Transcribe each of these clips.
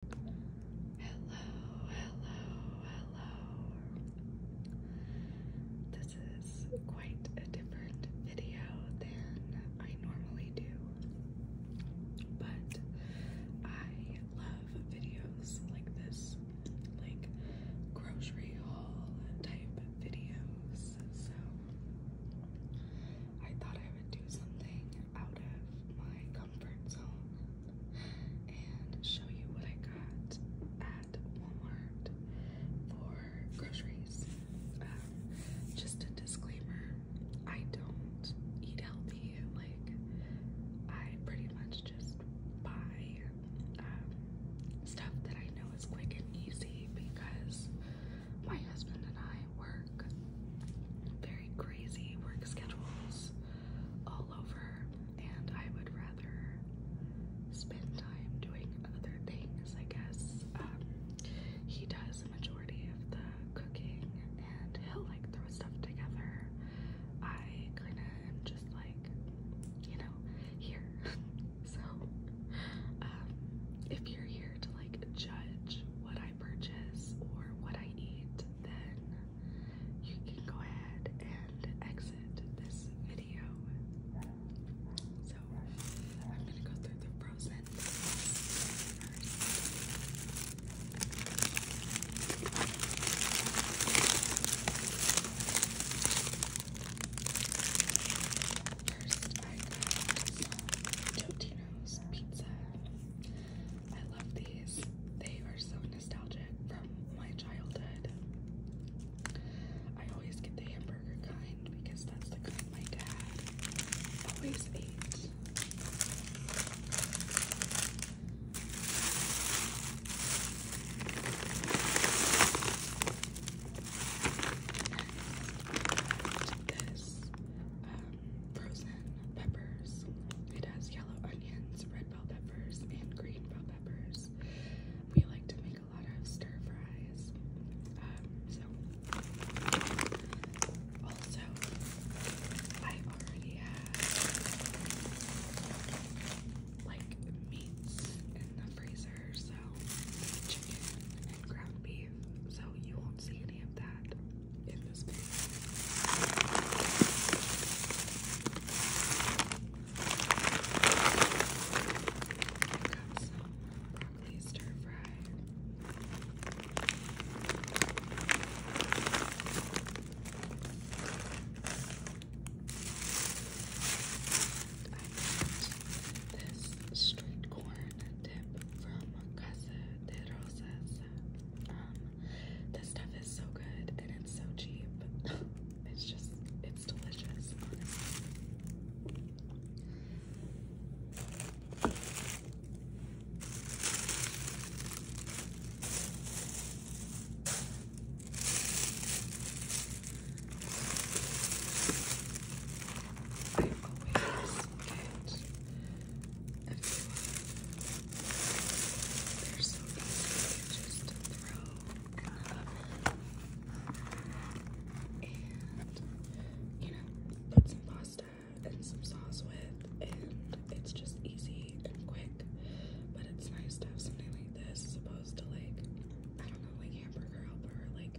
Hello, hello, hello. This is quite a different video than I normally do, but I love videos like this, like grocery haul type videos. So I thought I would do something out of my comfort zone and show you what I got at Walmart for groceries. Um, just a disclaimer, I don't eat healthy. Like, I pretty much just buy um, stuff that I know is quick and easy because my husband and I work. Very crazy work schedules all over, and I would rather spend time doing other things, I guess. Um, he does the majority of the cooking and he'll like throw stuff together. I kind of am just like, you know, here. so, um, if you're here to like judge what I purchase or what I eat, then you can go ahead and exit this video. So I'm gonna go through the frozen First, I got Totino's pizza. I love these. They are so nostalgic from my childhood. I always get the hamburger kind because that's the kind my dad always ate. This um, frozen peppers. It has yellow onions, red bell peppers, and green bell peppers. We like to make a lot of stir fries. Um, so, also, I already have like meats in the freezer, so chicken and ground beef, so you won't see any of that in this pan. Got some broccoli stir fry. I got this straight corn dip from Casa de Rosas um, this stuff is so good and it's so cheap. it's just, it's delicious, honestly. There's four. They're to throw in And, you know, put some pasta and some sauce with, and it's just easy and quick. But it's nice to have something like this as opposed to, like, I don't know, like hamburger helper, like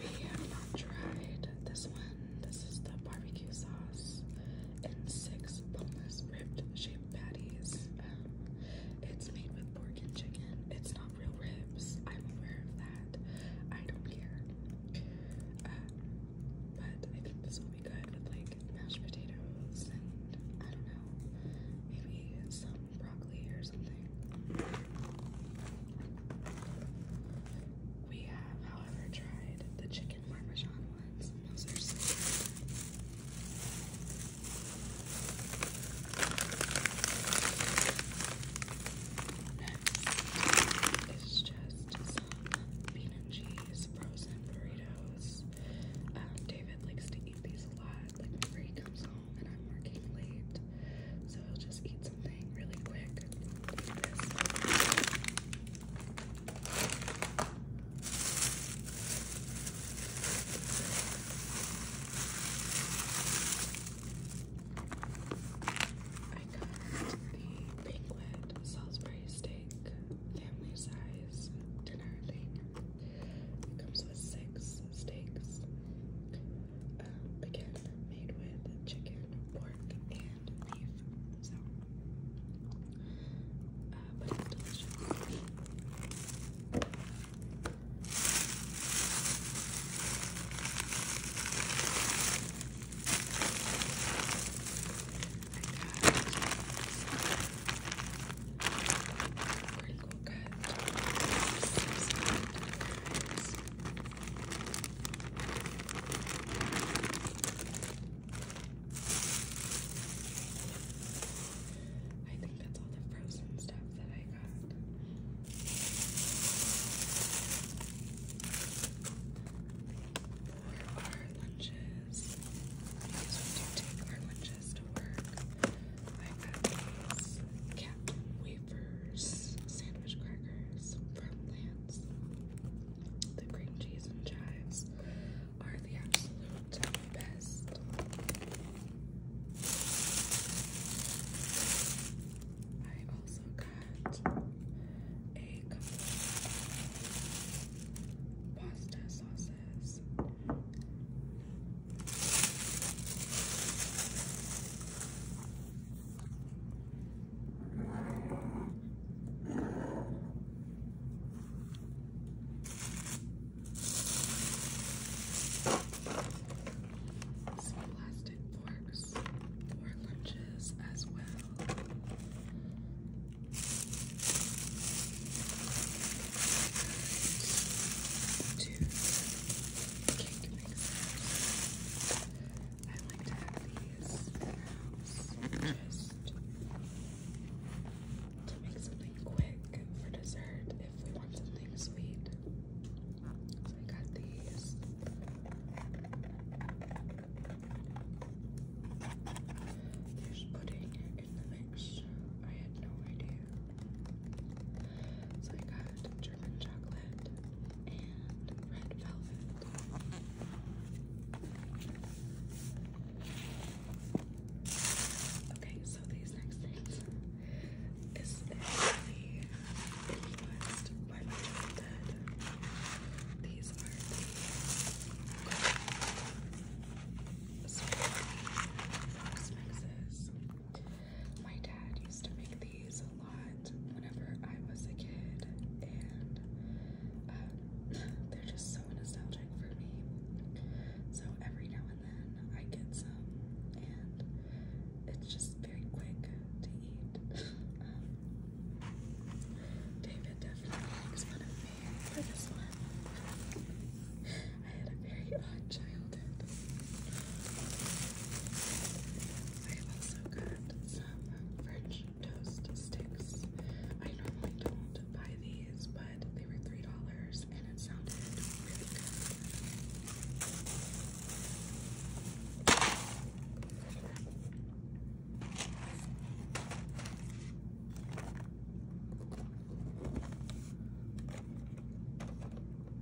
We have not tried this one. This is the barbecue sauce and six boneless rib shaped patties. Um, it's made with pork and chicken. It's not real ribs. I'm aware of that. I don't care. Um, but I think this will be good with like mashed potatoes and I don't know, maybe some broccoli or something. We have, however, tried the chicken parmesan ones, those are good. Next is just some bean and cheese frozen burritos. Um, David likes to eat these a lot. Like whenever he comes and I'm working late, so I'll just eat something really quick. I got the Pinglet Salisbury steak family size dinner thing. It comes with six steaks um, again, made with chicken, pork, and beef. So, uh, but it's delicious. I got good. I think that's all the frozen stuff that I got. Or our lunches. Because we do take our lunches to work i got these Wafers sandwich crackers from The cream cheese and chives are the absolute best. I also got a couple of pasta sauces. Some plastic forks for lunches as well. Two I like to have these just to make something quick for dessert if we want something sweet. So I got these. There's pudding in the mix. I had no idea. So I got German chocolate and red velvet. Okay, so these next things. is really influenced by my childhood. These are the my dad used to make these a lot whenever I was a kid, and um, they're just so nostalgic for me. So every now and then I get some, and it's just very quick to eat. Um, David definitely makes fun of me for this one. I had a very odd childhood. i also got some French toast sticks. I normally don't buy these, but they were $3 and it sounded really good. I'm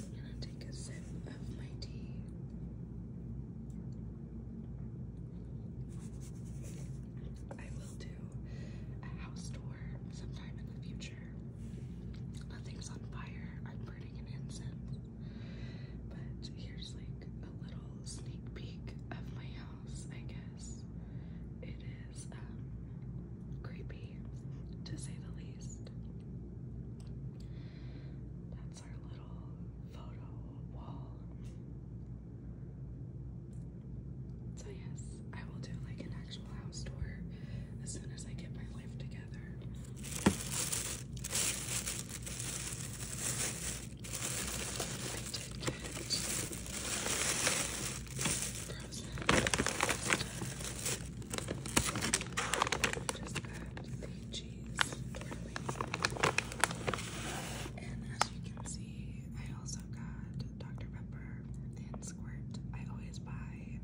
gonna take a sip of my tea. I will do a house tour sometime in the future. Nothing's on fire. I'm burning an incense. But here's like a little sneak peek of my house, I guess. It is um, creepy, to say the least. That's our little photo wall. So yes, I will do like an actual house tour as soon as I get my life together the cheese And as you can see, I also got Dr. Pepper and Squirt. I always buy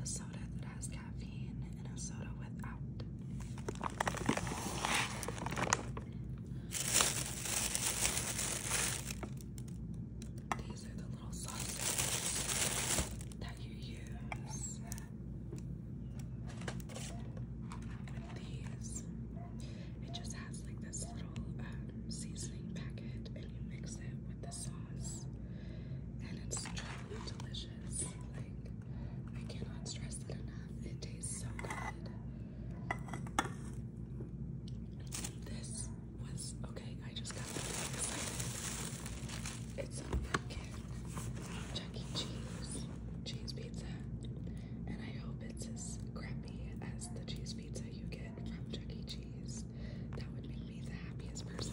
the soda that has caffeine and These are the little sauces that you use. These, it just has like this little um, seasoning packet, and you mix it with the sauce, and it's truly delicious. Like, I cannot stress it enough. It tastes so good. This was okay. I just got really It's a pumpkin Chuck E. Cheese cheese pizza, and I hope it's as crappy as the cheese pizza you get from Chuck E. Cheese. That would make me the happiest person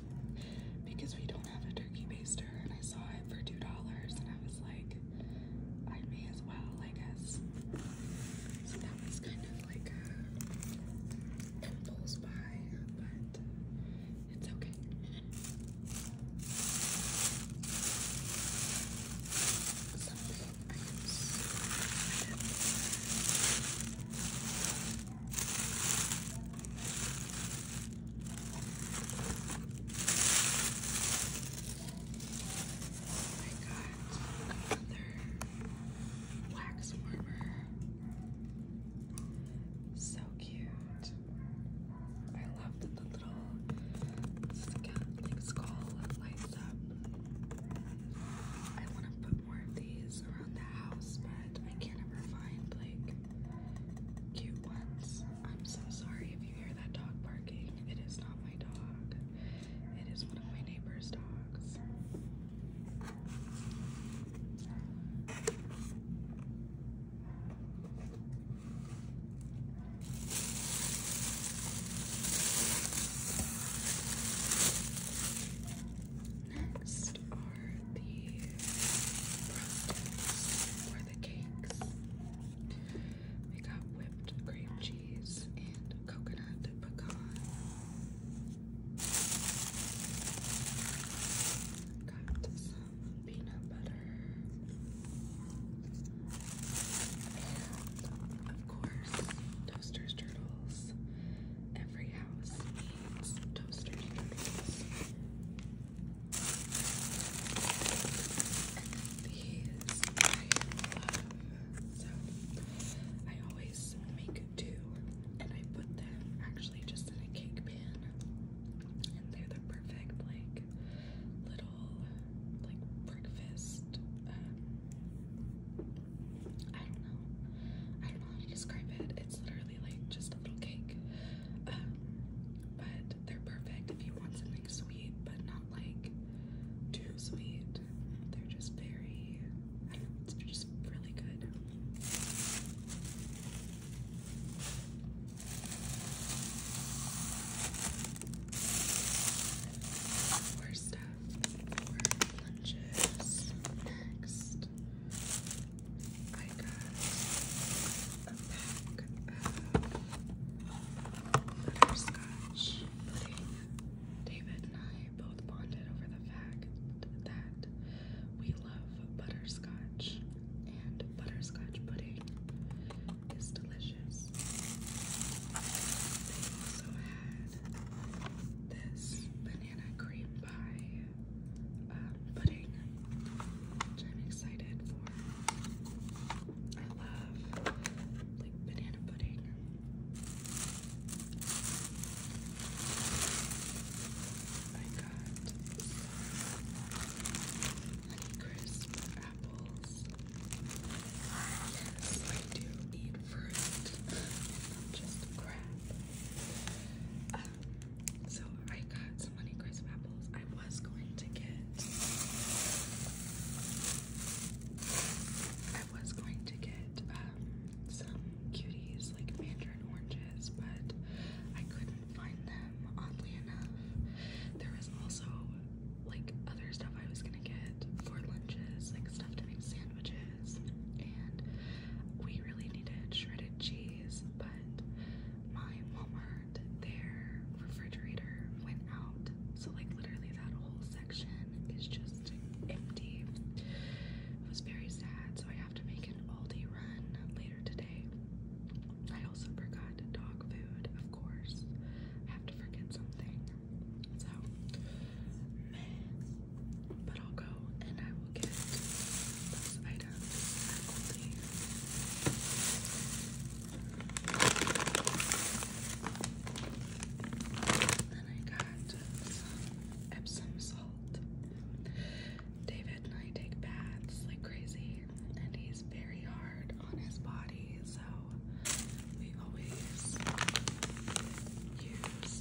because we don't have a turkey baster and I saw it for two dollars and I was like I may as well I guess so that was kind of like a impulse buy but it's okay I got another wax warmer. So cute. I love the little scallop skull lights up. I want to put more of these around the house, but I can't ever find like cute ones. I'm so sorry if you hear that dog barking. It is not my dog. It is one of my neighbor's dogs. Next are the croissants or the cakes. We got whipped cream cheese and coconut pecan. Got some peanut butter. of course, Toaster's Turtles. Every house these I always make two and I put them actually just in a cake pan. And they're the perfect like little like breakfast. I don't know. I don't know how to describe it. It's literally like just a little cake. Um, but they're perfect if you want something sweet, but not like too sweet. They're just very, they're just really good. next. I got a pack of butterscotch pudding. David and I both bonded over the fact that we love butterscotch, and butterscotch pudding is delicious. They also had this banana cream pie um, pudding, which I'm excited for. I love like banana pudding. I got some apples. Yes, I do eat fruit, just crap. Um, so I got some honey apples. I was going to get I was going to get um, some cuties like mandarin oranges, but I couldn't find them oddly enough. There was also like other stuff I was gonna get for lunches, like stuff to make sandwiches we really needed shredded cheese, but my Walmart, their refrigerator went out, so like literally that whole section is just empty. It was very sad, so I have to make an Aldi run later today. I also forgot dog food, of course. I have to forget something. So, but I'll go and I will get those items Then I got Epsom salt. David and I take baths like crazy, and he's very hard on his body, so we always use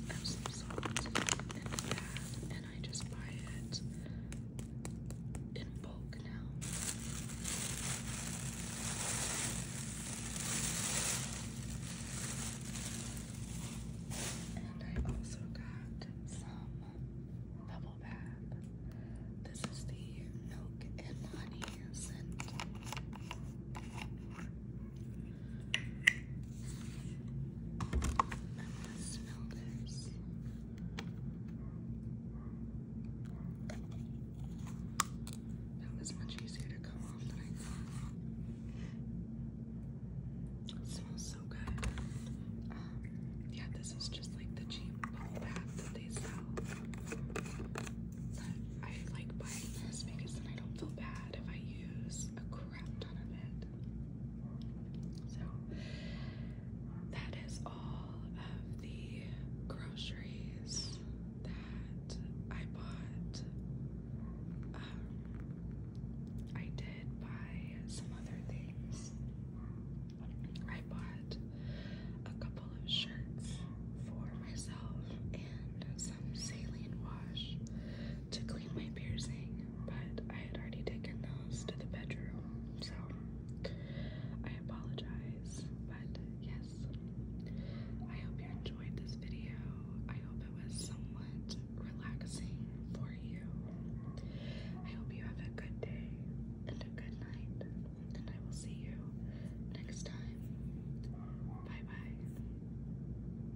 Epsom salt in the bath, I just buy it in bulk now. And I also got some bubble bath. This is the milk and honey scent i That was much easier to come off than I thought. It smells so good. Um, yeah, this is just like the cheap bath that they sell. But I like buying this because then I don't feel bad if I use a crap ton of it. So that is all of the groceries that I bought. Um, I did buy some other things. I bought a couple of shirts for myself and saline wash to clean my piercing, but I had already taken those to the bedroom, so I apologize. But yes, I hope you enjoyed this video. I hope it was somewhat relaxing for you. I hope you have a good day and a good night, and I will see you next time. Bye bye.